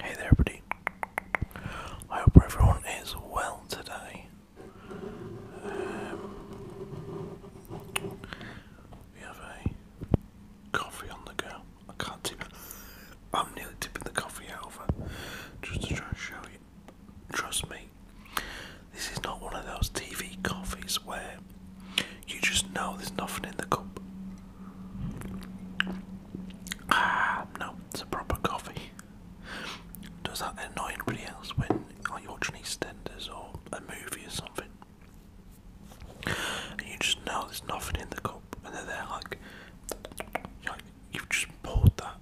Hey there, everybody. I hope everyone is well today. Um, we have a coffee on the go. I can't tip. I'm nearly tipping the coffee over just to try and show you Trust me, this is not one of those TV coffees where you just know there's nothing in the cup. Ah, no, it's a proper coffee. Does that annoy anybody else when like, you're watching EastEnders or a movie or something? And you just know there's nothing in the cup, and they're like, like, you've just poured that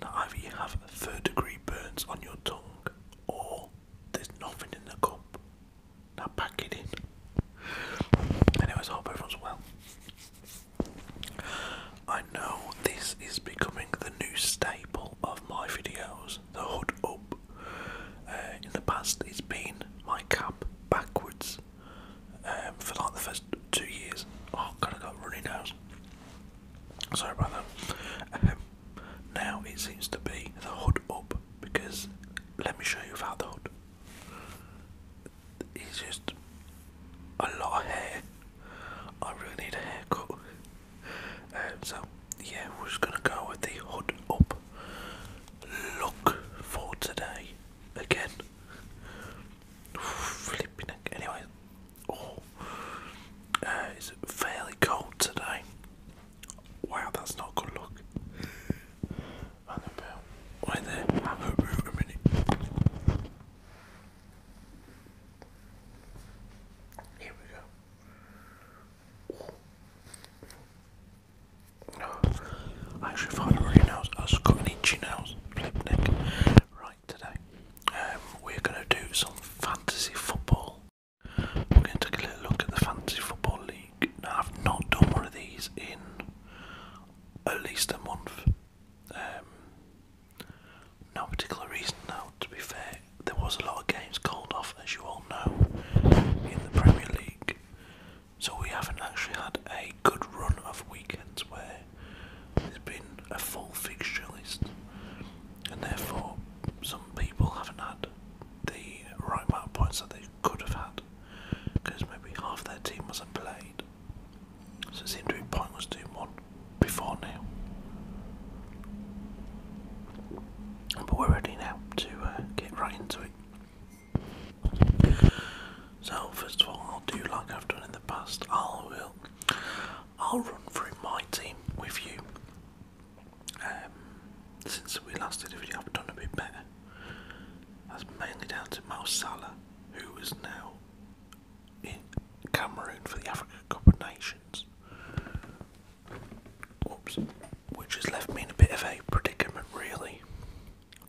now, either you have third degree burns on your tongue, or there's nothing in the cup. Now, pack it in. Anyways, I hope everyone's well. I know this is becoming the new staple of my videos, the hood up. Uh, in the past, it's been my cap backwards. Um, for like the first two years. I oh, god, I got a runny nose. Sorry about um, now it seems to be the hood up because let me show you without the hood. It's just a lot of hair. I really need a haircut. Um, so yeah, we're just gonna go with the hood up look for today again. Flipping neck. Anyway, oh, uh, fairly cold today. Wow, that's not good luck. Here we go. Oh, I actually find a really I was got an itchy nose today. Um, we're going to do some fantasy football. We're going to take a little look at the fantasy football league. I've not done one of these in at least a month. Um, no particular reason, though. To be fair, there was a lot of games called off, as you all know, in the Premier League. So we haven't actually had a good run of weekends where there's been a full fixture list, and therefore some people haven't had the right amount of points that they could have had because maybe half their team wasn't played. So it seemed to be pointless doing one before now. But we're ready now to uh, get right into it. So first of all, I'll do like I've done in the past. I will I'll run through my team with you. Um, since we last did a I've done a bit better. That's mainly down to Mo Salah, who is now in Cameroon for the Africa Cup of Nations. Whoops. Which has left me in a bit of a predicament, really.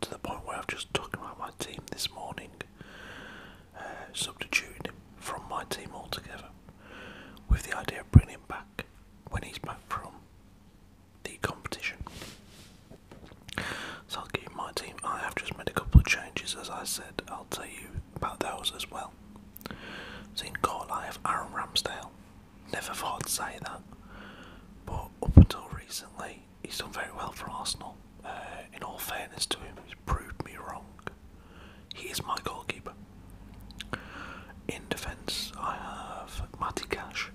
To the point where I've just talked about my team this morning substituting him from my team altogether with the idea of bringing him back when he's back from the competition. So I'll give you my team. I have just made a couple of changes, as I said. I'll tell you about those as well. So in goal, I have Aaron Ramsdale. Never thought I'd say that, but up until recently, He's done very well for Arsenal. Uh, in all fairness to him, he's proved me wrong. He is my goalkeeper. In defence, I have Matty Cash.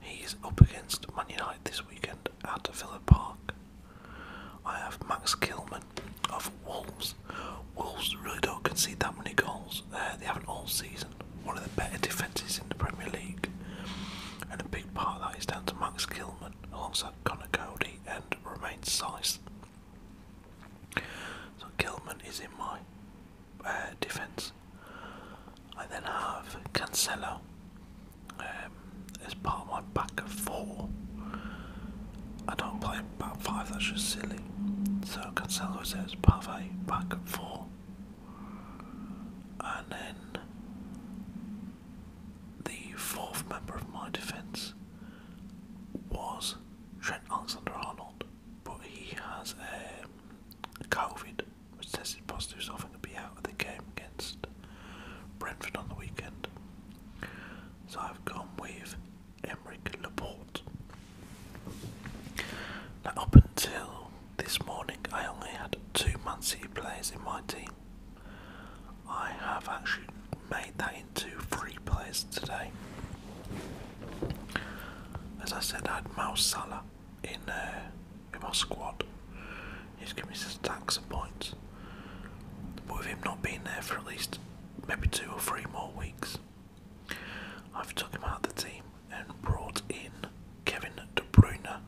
He up against Man United this weekend at Villa Park. I have Max Kilman of Wolves. Wolves really don't concede that many goals. Uh, they have an all season. One of the better defences in the Premier League. And a big part of that is down to Max Kilman alongside Connor Cody and Remains Sice. So Gilman is in my uh, defence. I then have Cancelo um, as part of my back four. I don't play five, that's just silly. So Cancelo is as part of back of And then the fourth member of my defence was Trent Alexander Arnold, but he has um, COVID, which tested positive, so I think he'll be out of the game against Brentford on the weekend. So I've gone with Emmerich Laporte. Now, up until this morning, I only had two Man players in my team. I have actually made that into three players today. As I said, I had Mo Salah in, uh, in my squad. He's given me some stacks of points. But with him not being there for at least maybe two or three more weeks, I've took him out of the team and brought in Kevin De Bruyne,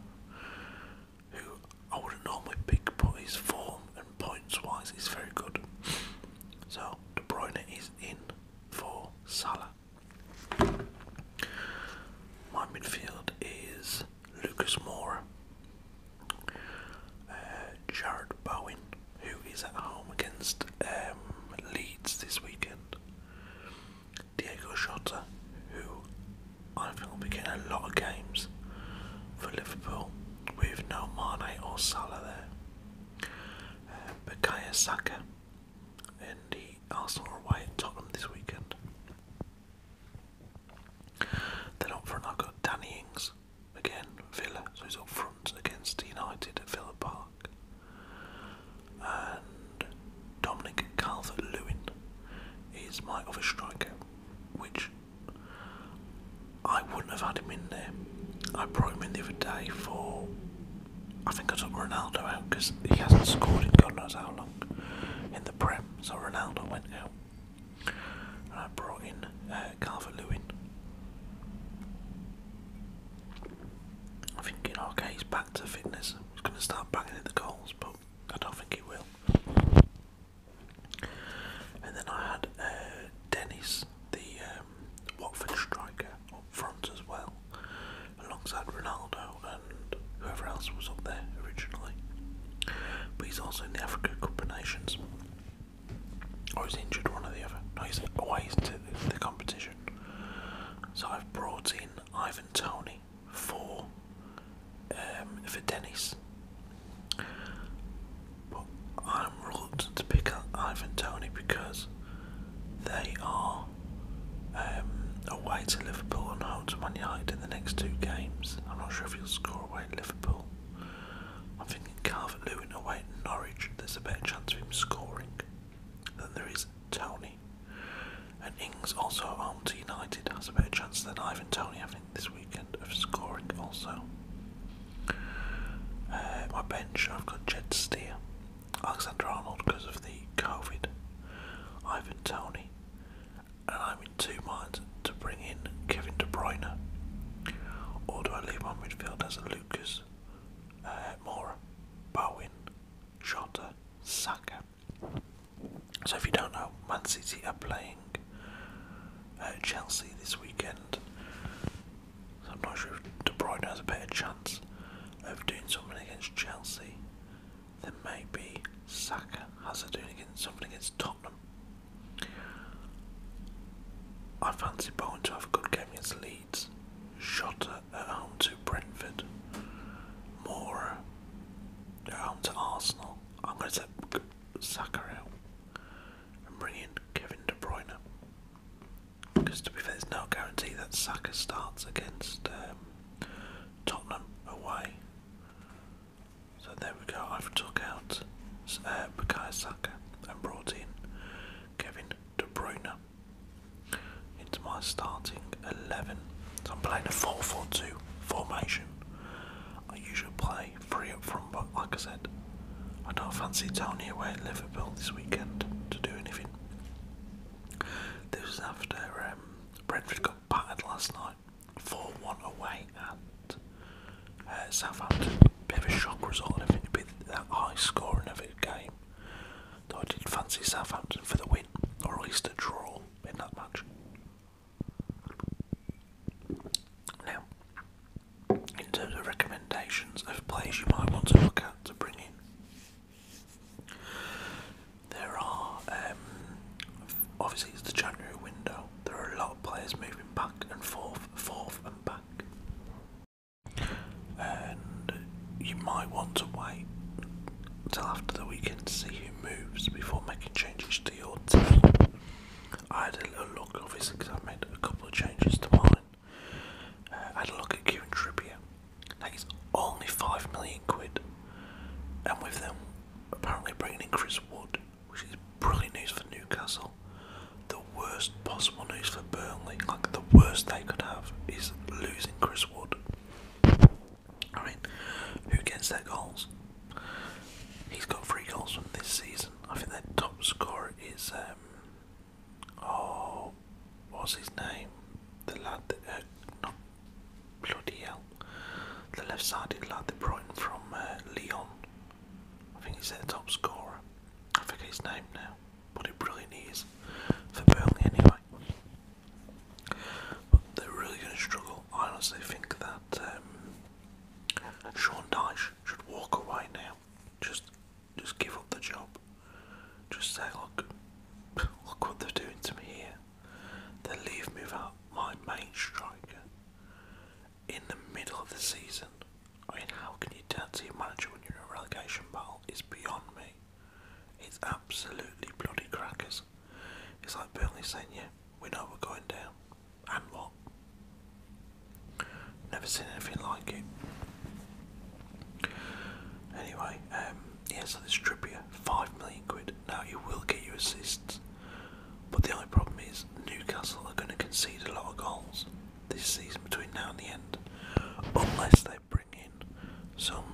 who I wouldn't normally pick, but his form and points wise he's very good. So De Bruyne is in for Salah. My midfield is Lucas Moura, uh, Jared Bowen, who is at home against um, Leeds this weekend, Diego Shota, who I think we'll be getting a lot of games for Liverpool with no Mane or Salah there. but uh, Bukayo Saka and the Arsenal are away at Tottenham this weekend. Then up front I've got Danny Ings, again Villa, so he's up front against United at Villa Park. And Dominic Calvert-Lewin is my other striker which I wouldn't have had him in there. I brought him in the other day for. I think I took Ronaldo out because he hasn't scored in God knows how long in the Prem, so Ronaldo went out. And I brought in uh, Carver Lewin. I think, you know, okay, back to fitness. He's going to start banging in the goals, but I don't think he will. And then I had uh, Dennis, the um, Watford striker, up front as well, alongside Ronaldo and whoever else was up there originally. But he's also in the Africa Cup of Nations. Or oh, he's injured, one or the other. No, he's away into the competition. So I've brought in Ivan Tony for um, for Dennis. But I'm reluctant to pick up Ivan Tony because they are um, away to Liverpool and home to Man United in the next two games. I'm not sure if he'll score away at Liverpool. I'm thinking Calvert Lewin away at Norwich. There's a better chance of him scoring than there is Tony. And Ings also at home to United has a better chance than Ivan Tony, I this weekend of scoring also. Uh, my bench, I've got Jed Steer, Alexander Arnold because of the COVID, Ivan Tony, and I'm in two minds to bring in Kevin De Bruyne, or do I leave my midfielders Lucas, uh, Mora, Bowen, Jota, Saka, so, if you don't know, Man City are playing uh, Chelsea this weekend. I'm not sure if De Bruyne has a better chance of doing something against Chelsea than maybe Saka has of doing something against Tottenham. I fancy Bowen to have a good game against Leeds. Shota at home to Brentford. Mora at home to Arsenal. I'm going to take Saka out and bring in Kevin De Bruyne. Because to be fair, there's no guarantee that Saka starts against um, Tottenham away. So there we go. I've took out uh, Bukayo Saka and brought in Kevin De Bruyne into my starting eleven. So I'm playing a 4-4-2 formation. I usually play free up front, but like I said, I don't fancy Tony away at Liverpool this weekend to do anything. This was after um, Brentford got battered last night, 4 1 away at uh, Southampton. Bit of a shock result, I think it'd be that high scoring of a game. Though I did fancy Southampton for the win, or at least a draw in that match. Now, in terms of recommendations of plays you might want to look at to bring in, there are um, obviously it's the January window. There are a lot of players moving back and forth, forth and back, and you might want to wait till after that we can see who moves before making changes to I had a little look, obviously, because I made a couple of changes to mine. Uh, I had a look at Kieran Trippier. Now he's only five million quid, and with them apparently bringing in Chris Wood, which is brilliant news for Newcastle. The worst possible news for Burnley, like the worst they could have, is losing Chris Wood. I mean, who gets their goals? He's got three goals from this season. I think their top scorer is um oh what's his name? The lad that uh, not bloody hell. The left-sided lad that brought in from uh, Lyon. I think he's their top scorer. I forget his name now. but a brilliant he is for Burnley anyway. But they're really going to struggle. I honestly think that um, Sean Dyche should walk away now. Just just give up the job. Just say, look, look what they're doing to me here. They leave me without my main striker in the middle of the season. I mean, how can you turn to a manager when you're in a relegation battle? It's beyond me. It's absolutely bloody crackers. It's like Burnley saying, yeah, we know we're going down, and what? Never seen anything like it. Anyway, um, yeah, so this Trippier, five million quid. Now you will get your assists, but the only problem is Newcastle are going to concede a lot of goals this season between now and the end, unless they bring in some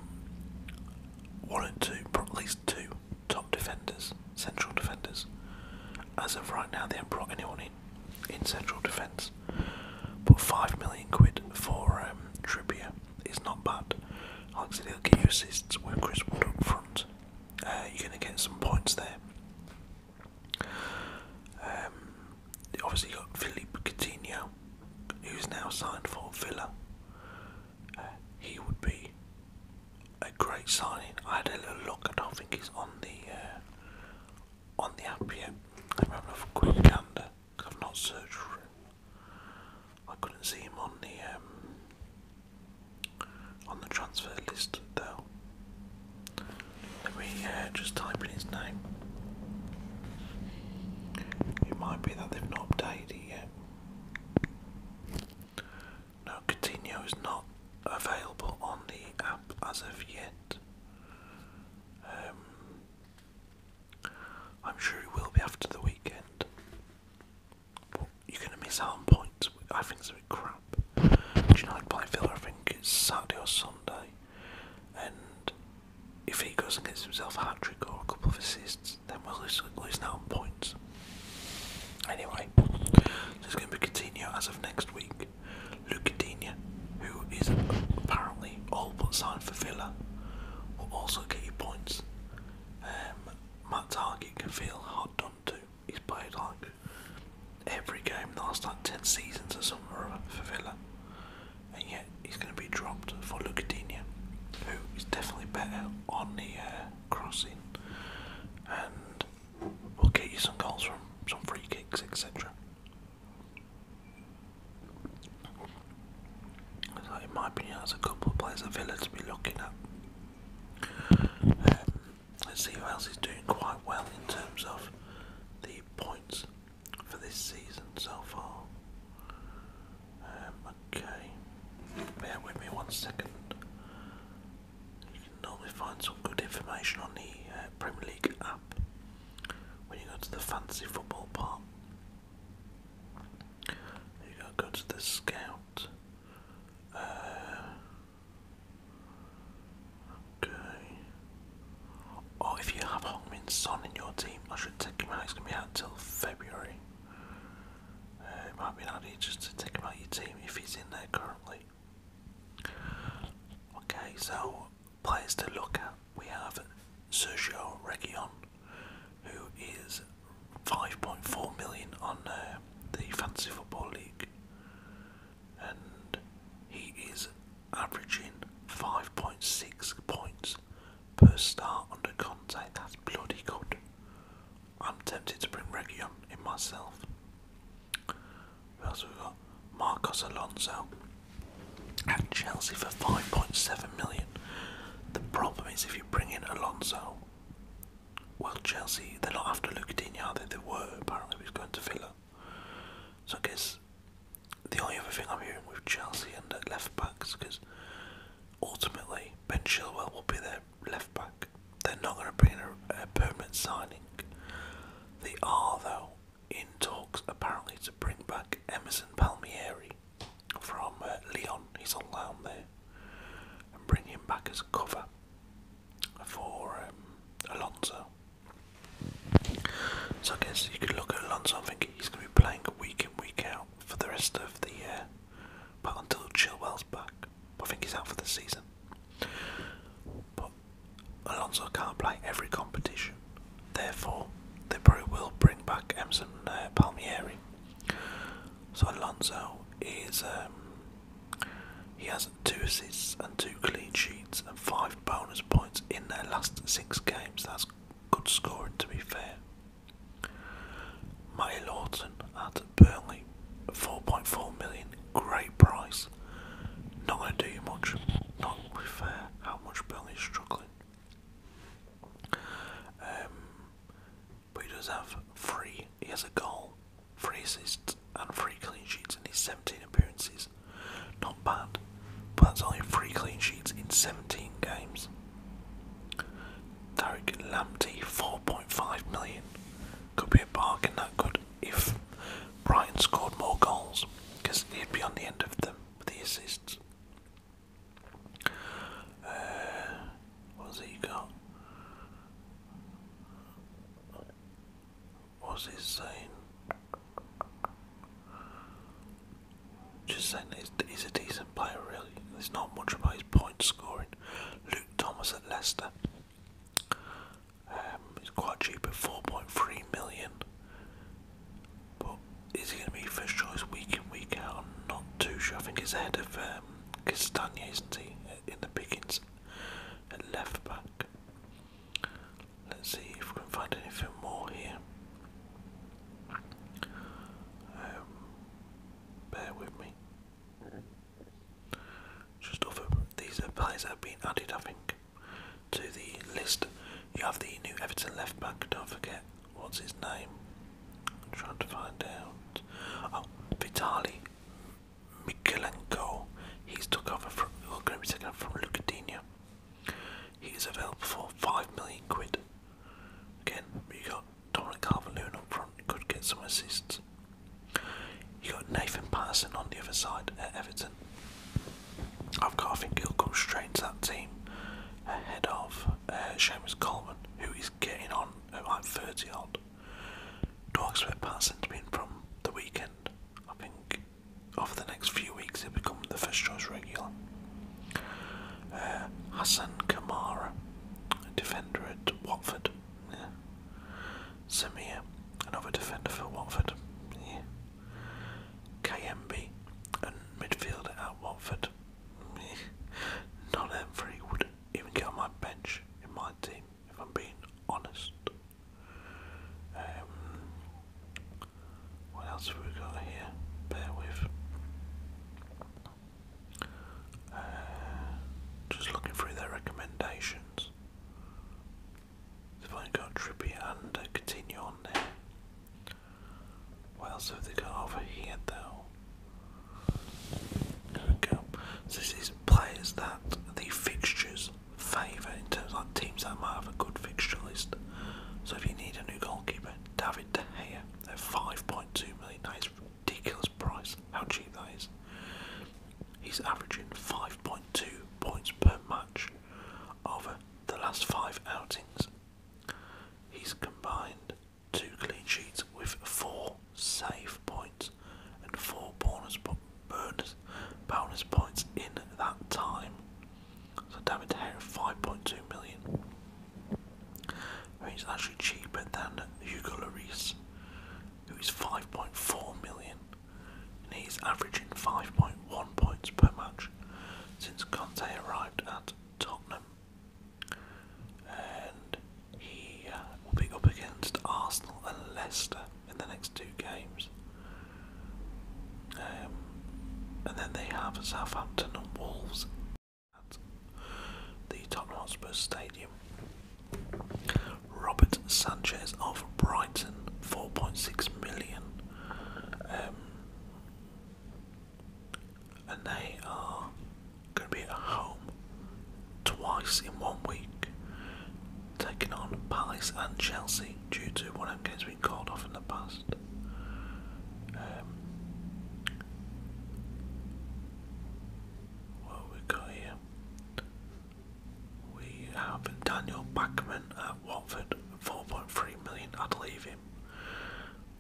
one or two, at least two top defenders, central defenders. As of right now, they haven't brought anyone in in central defence. But five million quid for um, Trippier is not bad. Like I will get you assists with Chris Wood up front. Uh, you're going to get some points there. Um, obviously, you got Philippe Coutinho, who's now signed for Villa he would be a great signing. I had a little look. and I think he's on the uh, on the app I'm having a I've not searched for him. I couldn't see him on the um, on the transfer list though. Let me uh, just type in his name. It might be that they've not updated it yet. No, Coutinho is not available on the app as of yet. Um, I'm sure he will be after the weekend. you're going to miss out on points. I think it's crap. Do you know, I play Villa, I think it's Saturday or Sunday. And if he goes and gets himself a hat trick or a couple of assists, then we'll lose, lose out on points. Anyway, just going to be Coutinho as of next week. Luke Coutinho, who is apparently all but signed for Villa, will also get you points. Um, Matt Target can feel hard done to. He's played like every game the last like 10 seasons or something for Villa, and yet he's going to be dropped for Luke Coutinho, who is definitely better on the. Uh, crossing, and we'll get you some goals from some free kicks, etc. So in my opinion, there's a couple of players at Villa to be looking at. Um, let's see who else is doing quite well in terms of the points for this season so far. Um, okay, bear with me one second. You can normally find some good information on the uh, Premier League app when you go to the Fancy football part. You gotta go to the scout. Uh, okay. Or if you have Hongmin Son in your team, I should take him out. He's gonna be out till February it might be an idea just to think about your team if he's in there currently. Okay, so players to look at we have Sergio Reguilon, who is 5.4 million on uh, the Fantasy Football League, and he is averaging 5.6 points per star under contact. That's bloody good. I'm tempted to bring Region in myself. Who we got? Marcos Alonso at Chelsea for 5.7 million. The problem is if you bring in Alonso, well, Chelsea, they're not after Lucadinho, are they? They were, apparently, who's going to Villa. So I guess the only other thing I'm hearing with Chelsea and at left backs, because ultimately Ben Chilwell will be there left back. They're not going to bring a, permanent signing. They are, though, in talks apparently to bring back Emerson Palmieri from uh, Leon. He's on loan there, and bring him back as a cover for um, Alonso. So I guess you could look at Alonso I think he's going to be playing week in week out for the rest of the year. But until Chilwell's back, I think he's out for the season. But Alonso can't play every competition, therefore the probably will bring back Emerson uh, Palmieri. So Alonso is um, he has two assists and two clean sheets and five bonus points in their last six games. That's good scoring to be fair. Matty Lawton at Burnley, 4.4 million, great price. Not going to do you much, not really fair how much Burnley is struggling. Um, but he does have three, he has a goal, three assists, and three clean sheets in his 17 appearances. Not bad, but that's only three clean sheets in 17 games. Tarek Lamdi, 4.5 million could be a bargain that good if Brian scored more goals because he'd be on the end of them with the assists. Uh, What's he got? What's he saying? Just saying he's a decent player, really. There's not much about his point scoring. Luke Thomas at Leicester um, it's quite cheap at 4.3 million. But is he going to be first choice week in, week out? not too sure. I think he's ahead of um, isn't he? Uh, in the pickings at left back. Let's see if we can find anything more here. Um, bear with me. Just off them. These players that have been added, I think, to the list. You have the new Everton left back, don't forget. What's his name? I'm trying to find out. Oh, Vitali Mikulenko. He's took over from, well, going to be taken over from Lucadinho. He's available for 5 million quid. Again, you got Dominic Calvert-Lewin up front could get some assists. You got Nathan Patterson on the other side at Everton. I've got, I think he'll come straight into that team ahead of uh, Seamus Coleman, who is getting on at like 30 odd. Do I expect Patterson to be from the weekend? I think over the next few weeks he'll become the first choice regular. Uh, Hassan Kamara, defender at Watford, yeah. Samir, um, another defender for Watford. KMB, a midfielder at Watford. Yeah. None would even get on my bench in my team, if I'm being honest. Um, what else have we got here? Bear with. Uh, just looking through their recommendations. They've got Trippy and uh, on there. What else have they got over here though? There we go. So this is players that the fixtures favour in terms of like, teams that might have a good fixture list. So if you need a new goalkeeper, David De Gea at 5.2 million, that is ridiculous price. How cheap that is. He's averaging 5.2 points per match over the last five outings. He's combined two clean sheets with four save points and four bonus, points in that time. So David Hair 5.2 million. I mean, it's actually cheaper than Hugo Lloris who is 5.4 million, and he's averaging 5.1 points per match since Conte arrived at Tottenham. And he uh, will be up against Arsenal and Leicester in the next two games. Um, and then they have Southampton and Wolves at the Tottenham Hotspur Stadium. Robert Sanchez of Brighton, 4.6 million. Um, and they are going to be at home twice in one week, taking on Palace and Chelsea due to one of them games being called off in the past. Um, what have we got here? We have Daniel Backman at Watford, 4.3 million, I'd leave him.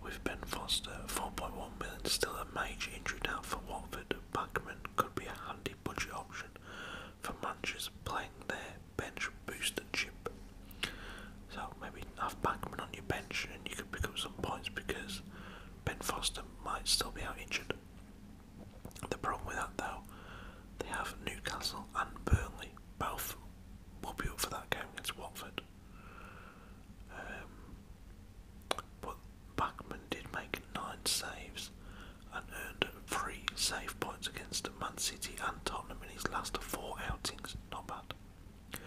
We've Ben Foster, 4.1 million, still a major injury now for Watford. Backman could be a handy budget option for Manchester playing their bench booster chip. So maybe have Backman on your bench and you could pick up some points because Ben Foster might still be out injured. The problem with that though, they have Newcastle and Burnley. Both will be up for that game against Watford. Um, but Backman did make nine saves and earned three save points against Man City and Tottenham in his last four outings. Not bad.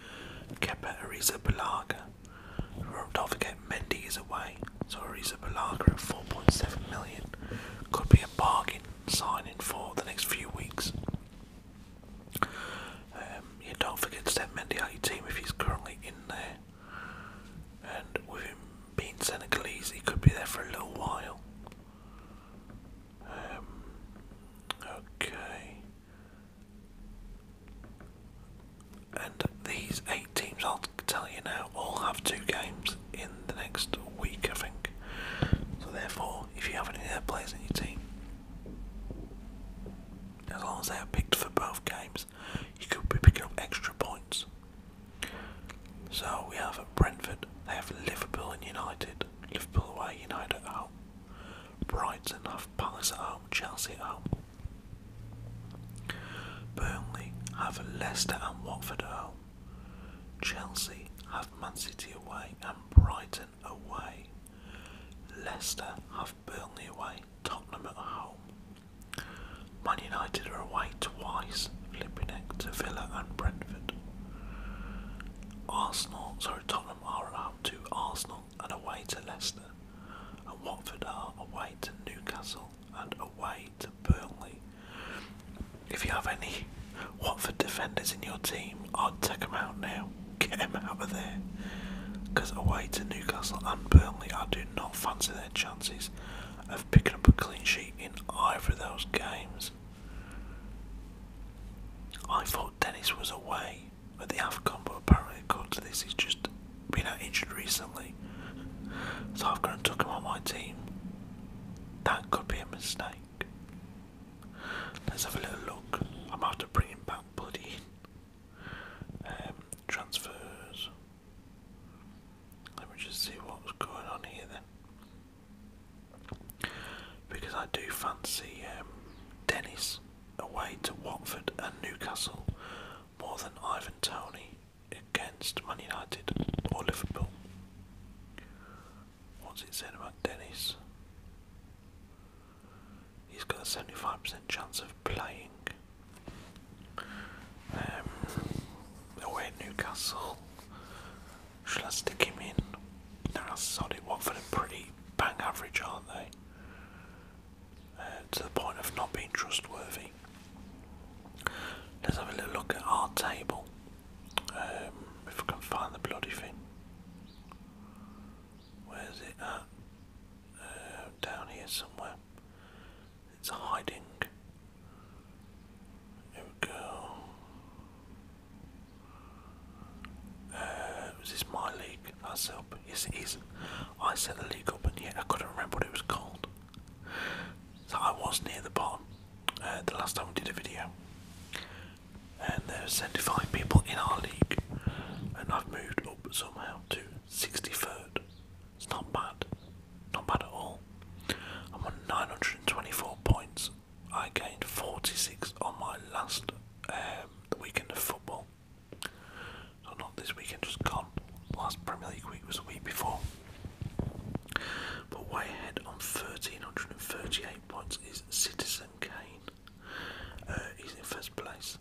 Kepa Arrizabalaga don't forget Mendy is away, so he's Ariza Balaga at 4.7 million could be a bargain signing for the next few weeks. Um, yeah, don't forget to step Mendy out your team if he's currently in there. And with him being Senegalese, he could be there for a little while. Um, okay and these eight teams, I'll tell you now, all have two games in the next week, I think. So therefore, if you have any other players in your team, as long as they are picked for both games, you could be picking up extra points. So we have Brentford, they have Liverpool and United, Liverpool away, United home. Brighton have Palace at home, Chelsea at home. Burnley have Leicester and Watford at home. Chelsea have Man City away and Brighton away. Leicester have Burnley away, Tottenham at home. Man United are away twice, flipping neck to Villa and Brentford. Arsenal, sorry, Tottenham are away to Arsenal and away to Leicester, and Watford are away to Newcastle and away to Burnley. If you have any Watford defenders in your team, I'd take them out now. Get them out of there. Because away to Newcastle and Burnley, I do not fancy their chances of picking up a clean sheet in either of those games. I thought Dennis was away but the AFCON, but apparently, according this, he's just been out injured recently, so I've gone and took him on my team. That could be a mistake. Let's have a little look. I am have to bring him back, Buddy. Um, transfers. Let me just see what's going on here then. Because I do fancy um, Dennis away to Watford and Newcastle more than Ivan Tony against Man United or Liverpool. What's it said about Dennis? He's got a 75% chance of playing. Um, away Newcastle. Should I stick him in? Nah, sod it. Watford are pretty bang average, aren't they? Uh, to the point of not being trustworthy. Let's have a little look at our table. Um, if I can find the bloody thing. Where is it at? Uh, down here somewhere. It's hiding. There we go. Uh, is this my league? That's up. Yes, it is. I set the league up, and yet I couldn't remember what it was called. So I was near the bottom uh, the last time we did a video. And there's 75 people in our league, and I've moved up somehow to 63rd. It's not bad, not bad at all. I'm on 924 points. I gained 46 on my last um, weekend of football. So not this weekend, just gone. Last Premier League week was a week before. But way ahead on 1,338 points is Citizen Kane. Uh, he's in first place.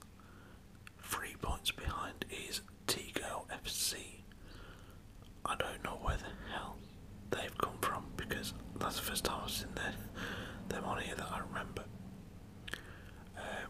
Three points behind is t FC. I don't know where the hell they've come from because that's the first time I've seen them on here that I remember. Um,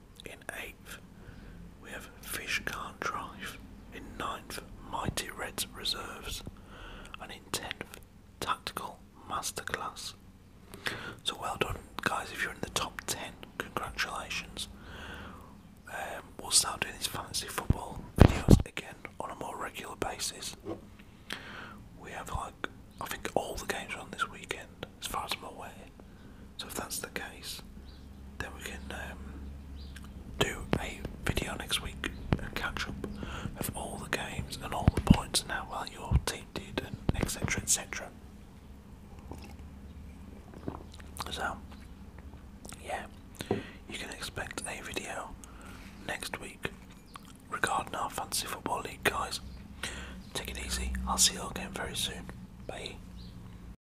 In eighth, we have Fish Can't Drive. In ninth, Mighty Reds Reserves. And in tenth, Tactical Masterclass. So well done, guys. If you're in the top ten, congratulations. Um, we'll start doing these fantasy football videos again on a more regular basis. We have like, I think all the games are on this weekend, as far as I'm aware. So if that's the case, then we can um, do a video next week and catch up of all the games and all the points and how well your team did and etc etc. So yeah, you can expect a video next week regarding our fantasy football league guys. Take it easy. I'll see you all again very soon. Bye.